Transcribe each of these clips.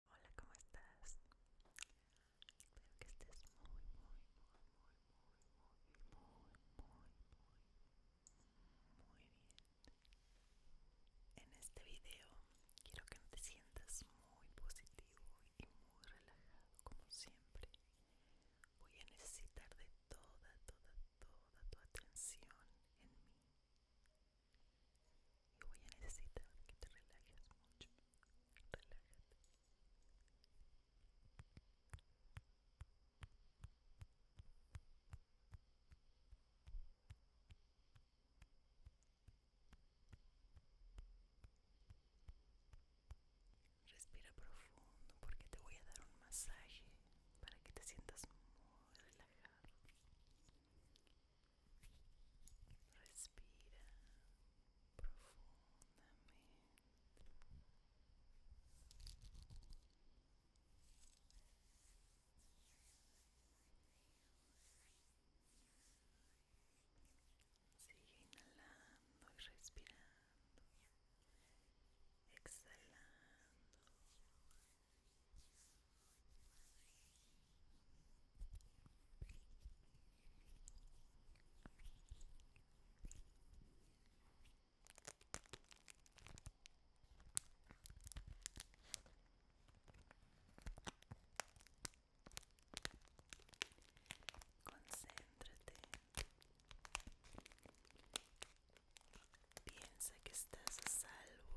Hola, ¿cómo estás? Espero que estés muy, muy, muy, muy, muy, muy, muy, muy, muy, bien. En este video quiero que te sientas muy positivo y muy relajado como siempre. Voy a necesitar de toda, toda, toda tu atención en mí y voy a necesitar que te relajes mucho relájate Respira profundo porque te voy a dar un masaje para que te sientas muy relajado. Respira profundamente. Sigue inhalando y respirando. Exhalando. Concéntrate. Piensa que estás a salvo.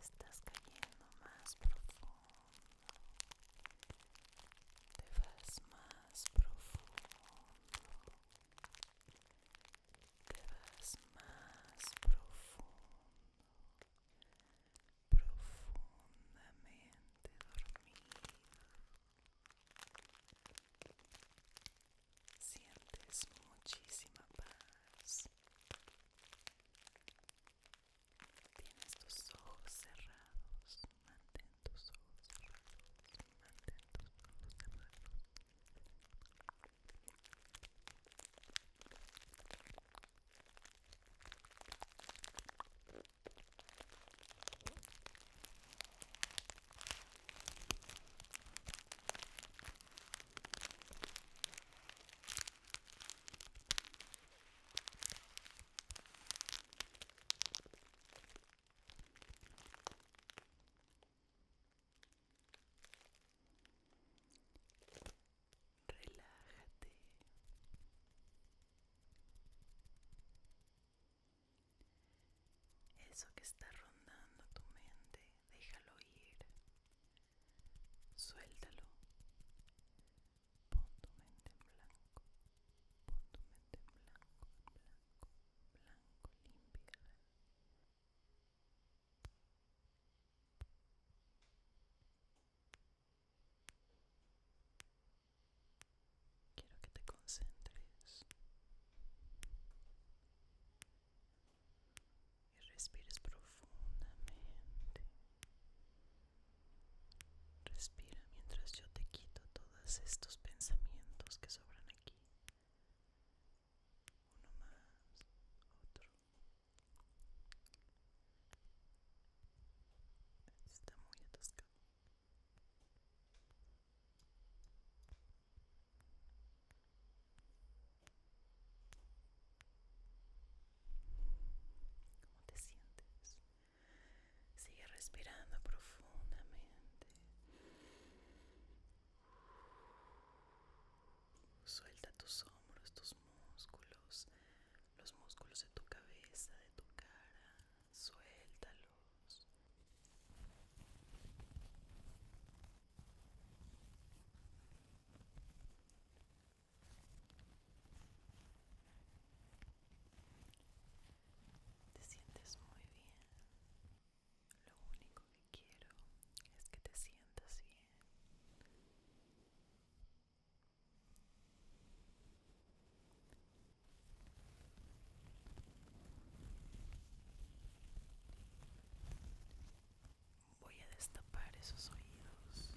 Estás cayendo más profundo te vas más profundo, te vas más profundo, profundamente dormido. Sientes muchísima paz. Tienes tus ojos cerrados. Mantén tus ojos cerrados. Mantén tus ojos cerrados. Relájate. Eso que está rondando tu mente, déjalo ir. Suéltalo. Pon tu mente en blanco, pon tu mente en blanco, blanco, blanco, limpia. Quiero que te concentres y respires profundamente Respira mientras yo te quito todos estos pensamientos que sobran aquí. Uno más, otro. Está muy atascado. ¿Cómo te sientes? Sigue respirando profundamente. Suelta tus hombros, tus músculos, los músculos de tu cabeza, de tu cara. Suéltalos. Te sientes muy bien. Lo único que quiero es que te sientas bien. Voy a destapar esos oídos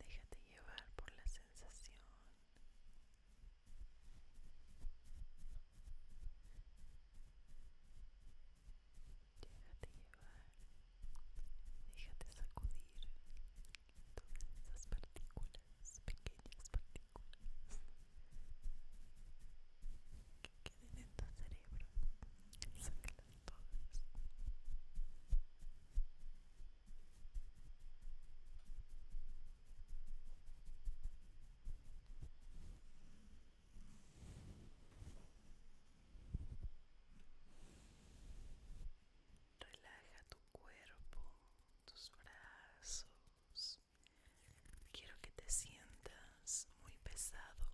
Déjate llevar por la sensación Déjate llevar, déjate sacudir todas esas partículas, pequeñas partículas que queden en tu cerebro, sácalas todas. Relaja tu cuerpo, tus brazos. Quiero que te sientas muy pesado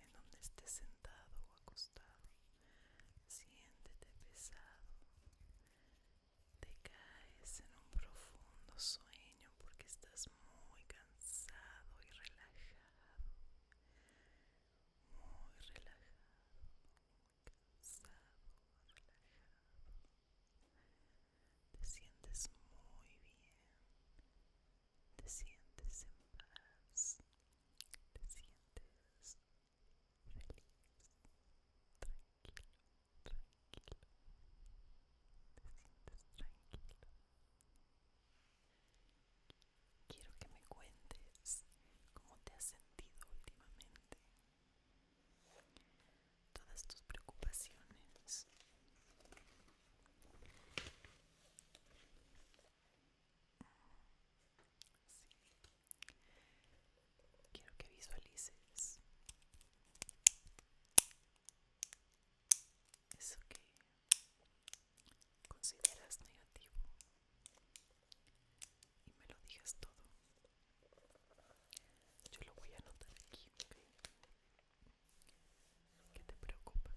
en donde estés sentado o acostado. Siéntete pesado. Te caes en un profundo sueño porque estás muy cansado y relajado. Muy relajado, muy cansado, relajado. Te sientes muy bien. Te sientes en paz. Te sientes feliz, tranquilo tranquilo, te sientes tranquilo. Quiero que me cuentes cómo te has sentido últimamente. Todas tus preocupaciones. Quiero que visualices eso que consideras negativo y me lo digas todo yo lo voy a anotar aquí ¿Qué te preocupa?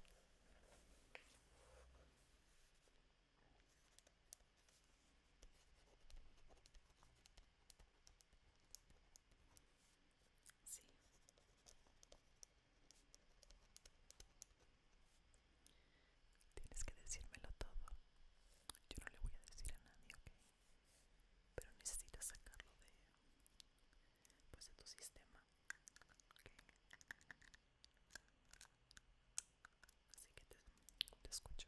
Sí. Tienes que decírmelo todo. Yo no le voy a decir a nadie, ¿ok? Pero necesitas sacarlo de, pues, de tu sistema, ¿ok? Así que te escucho.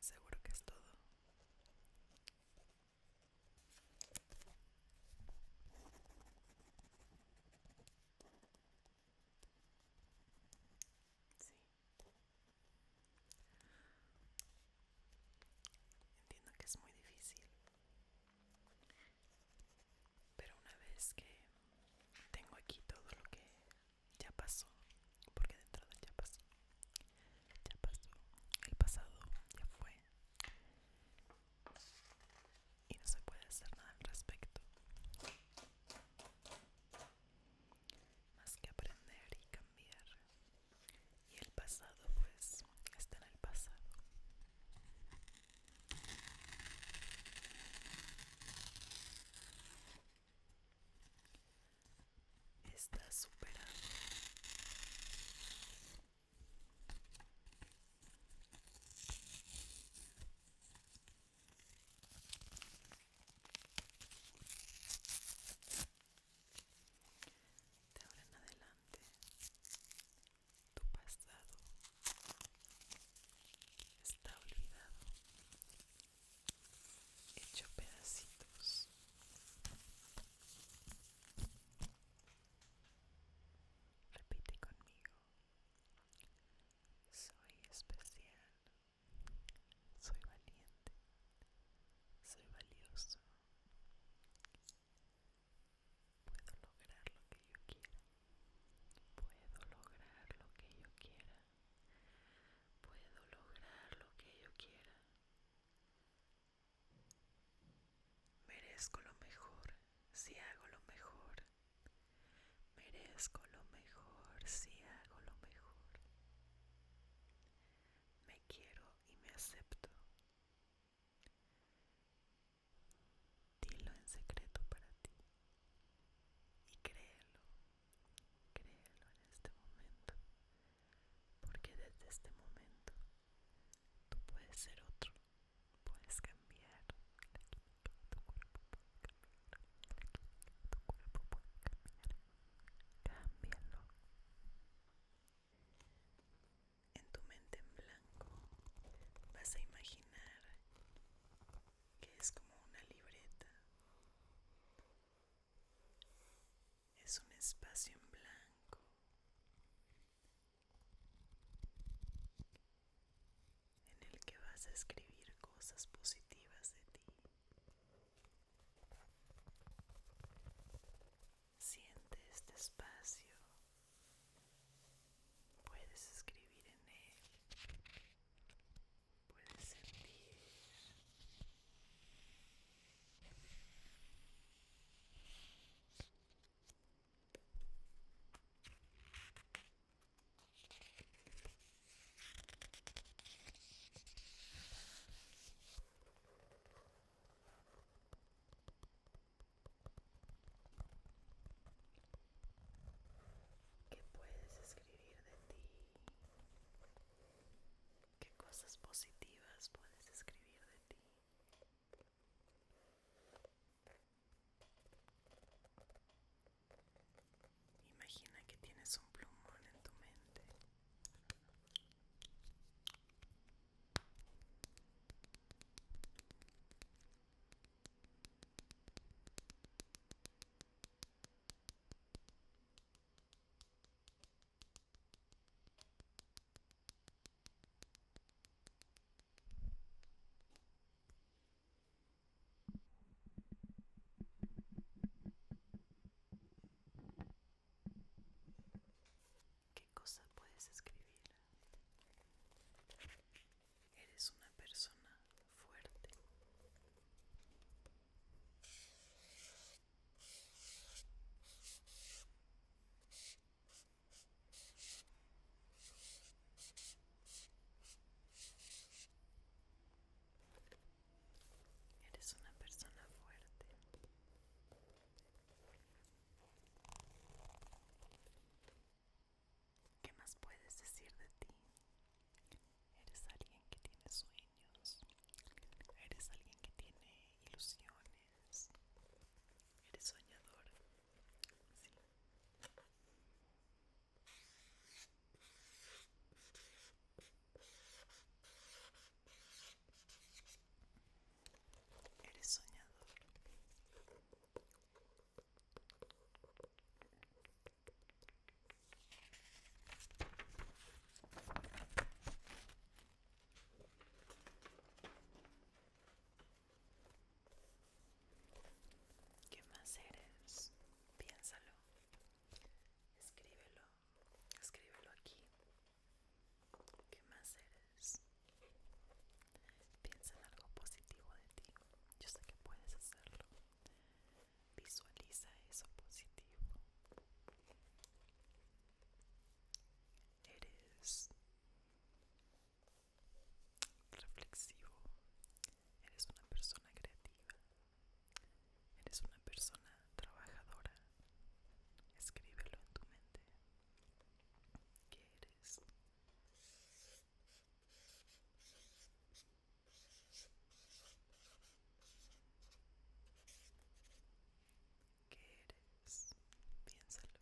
Seguro que es todo. Sí. Entiendo que es muy difícil. Pero una vez que tengo aquí todo lo que ya pasó, porque de entrada ya pasó, ya pasó, el pasado ya fue y no se puede hacer nada al respecto, más que aprender y cambiar. Y el pasado pues está en el pasado está superando de ahora en adelante tu pasado está olvidado hecho pedacitos repite conmigo soy especial soy valiente soy valioso puedo lograr lo que yo quiera puedo lograr lo que yo quiera puedo lograr lo que yo quiera Merezco lo mejor si hago lo mejor. Merezco lo mejor si hago lo mejor. Me quiero y me acepto. Dilo en secreto para ti y créelo. Créelo en este momento, porque desde este momento tú puedes ser otro, puedes cambiar, tu cuerpo puede cambiar, tu cuerpo puede cambiar, En tu mente en blanco vas a imaginar que es como una libreta es un espacio en blanco. En el que vas a escribir cosas positivas de ti. Siente este espacio. Puedes escribir en él puedes sentir ¿Qué puedes escribir de ti? qué cosas positivas puedes escribir de ti. Imagina que tienes un plumón en tu mente. ¿Qué cosa puedes escribir? Eres una persona fuerte. Eres una persona fuerte. ¿Qué más puedes decir de ti? Eres alguien que tiene sueños. Eres alguien que tiene ilusiones. Eres soñador. Eres soñador. ¿Qué más eres? Piénsalo. Escríbelo. Escríbelo aquí. ¿Qué más eres? Piensa en algo positivo de ti. Yo sé que puedes hacerlo. Visualiza eso positivo. Eres reflexivo. Eres una persona creativa. Eres una persona trabajadora. Escríbelo en tu mente. ¿Qué eres? ¿Qué eres? Piénsalo.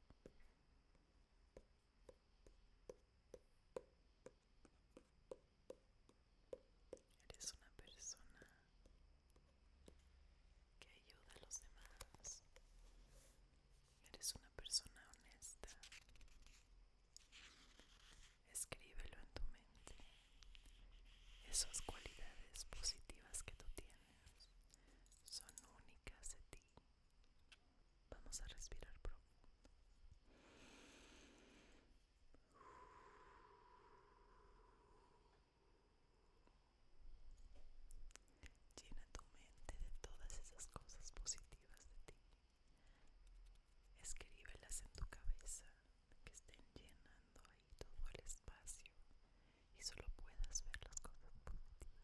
Eres una persona que ayuda a los demás. Eres una persona honesta. Escríbelo en tu mente. Esas cualidades positivas que tú tienes son únicas de ti. Vamos a respirar profundo. Llena tu mente de todas esas cosas positivas de ti. Escríbelas en tu cabeza que estén llenando todo el espacio y solo puedas ver las cosas positivas.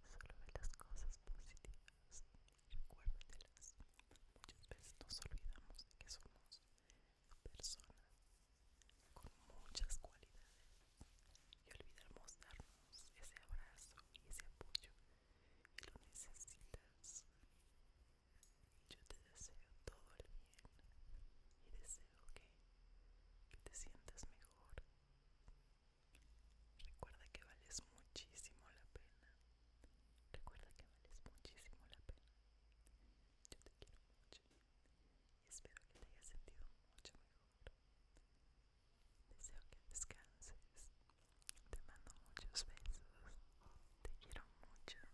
Solo ver las cosas positivas y recuérdatelas. Muchas veces nos olvidamos de que somos personas con muchas cualidades y olvidamos darnos ese abrazo y ese apoyo que lo necesitas yo te deseo todo el bien y deseo que, te sientas mejor. Recuerda que vales muchísimo la pena. Recuerda que vales muchísimo la pena. Yo te quiero mucho y espero que te hayas sentido mucho mejor. Deseo que descanses. Te mando muchos besos. Te quiero mucho.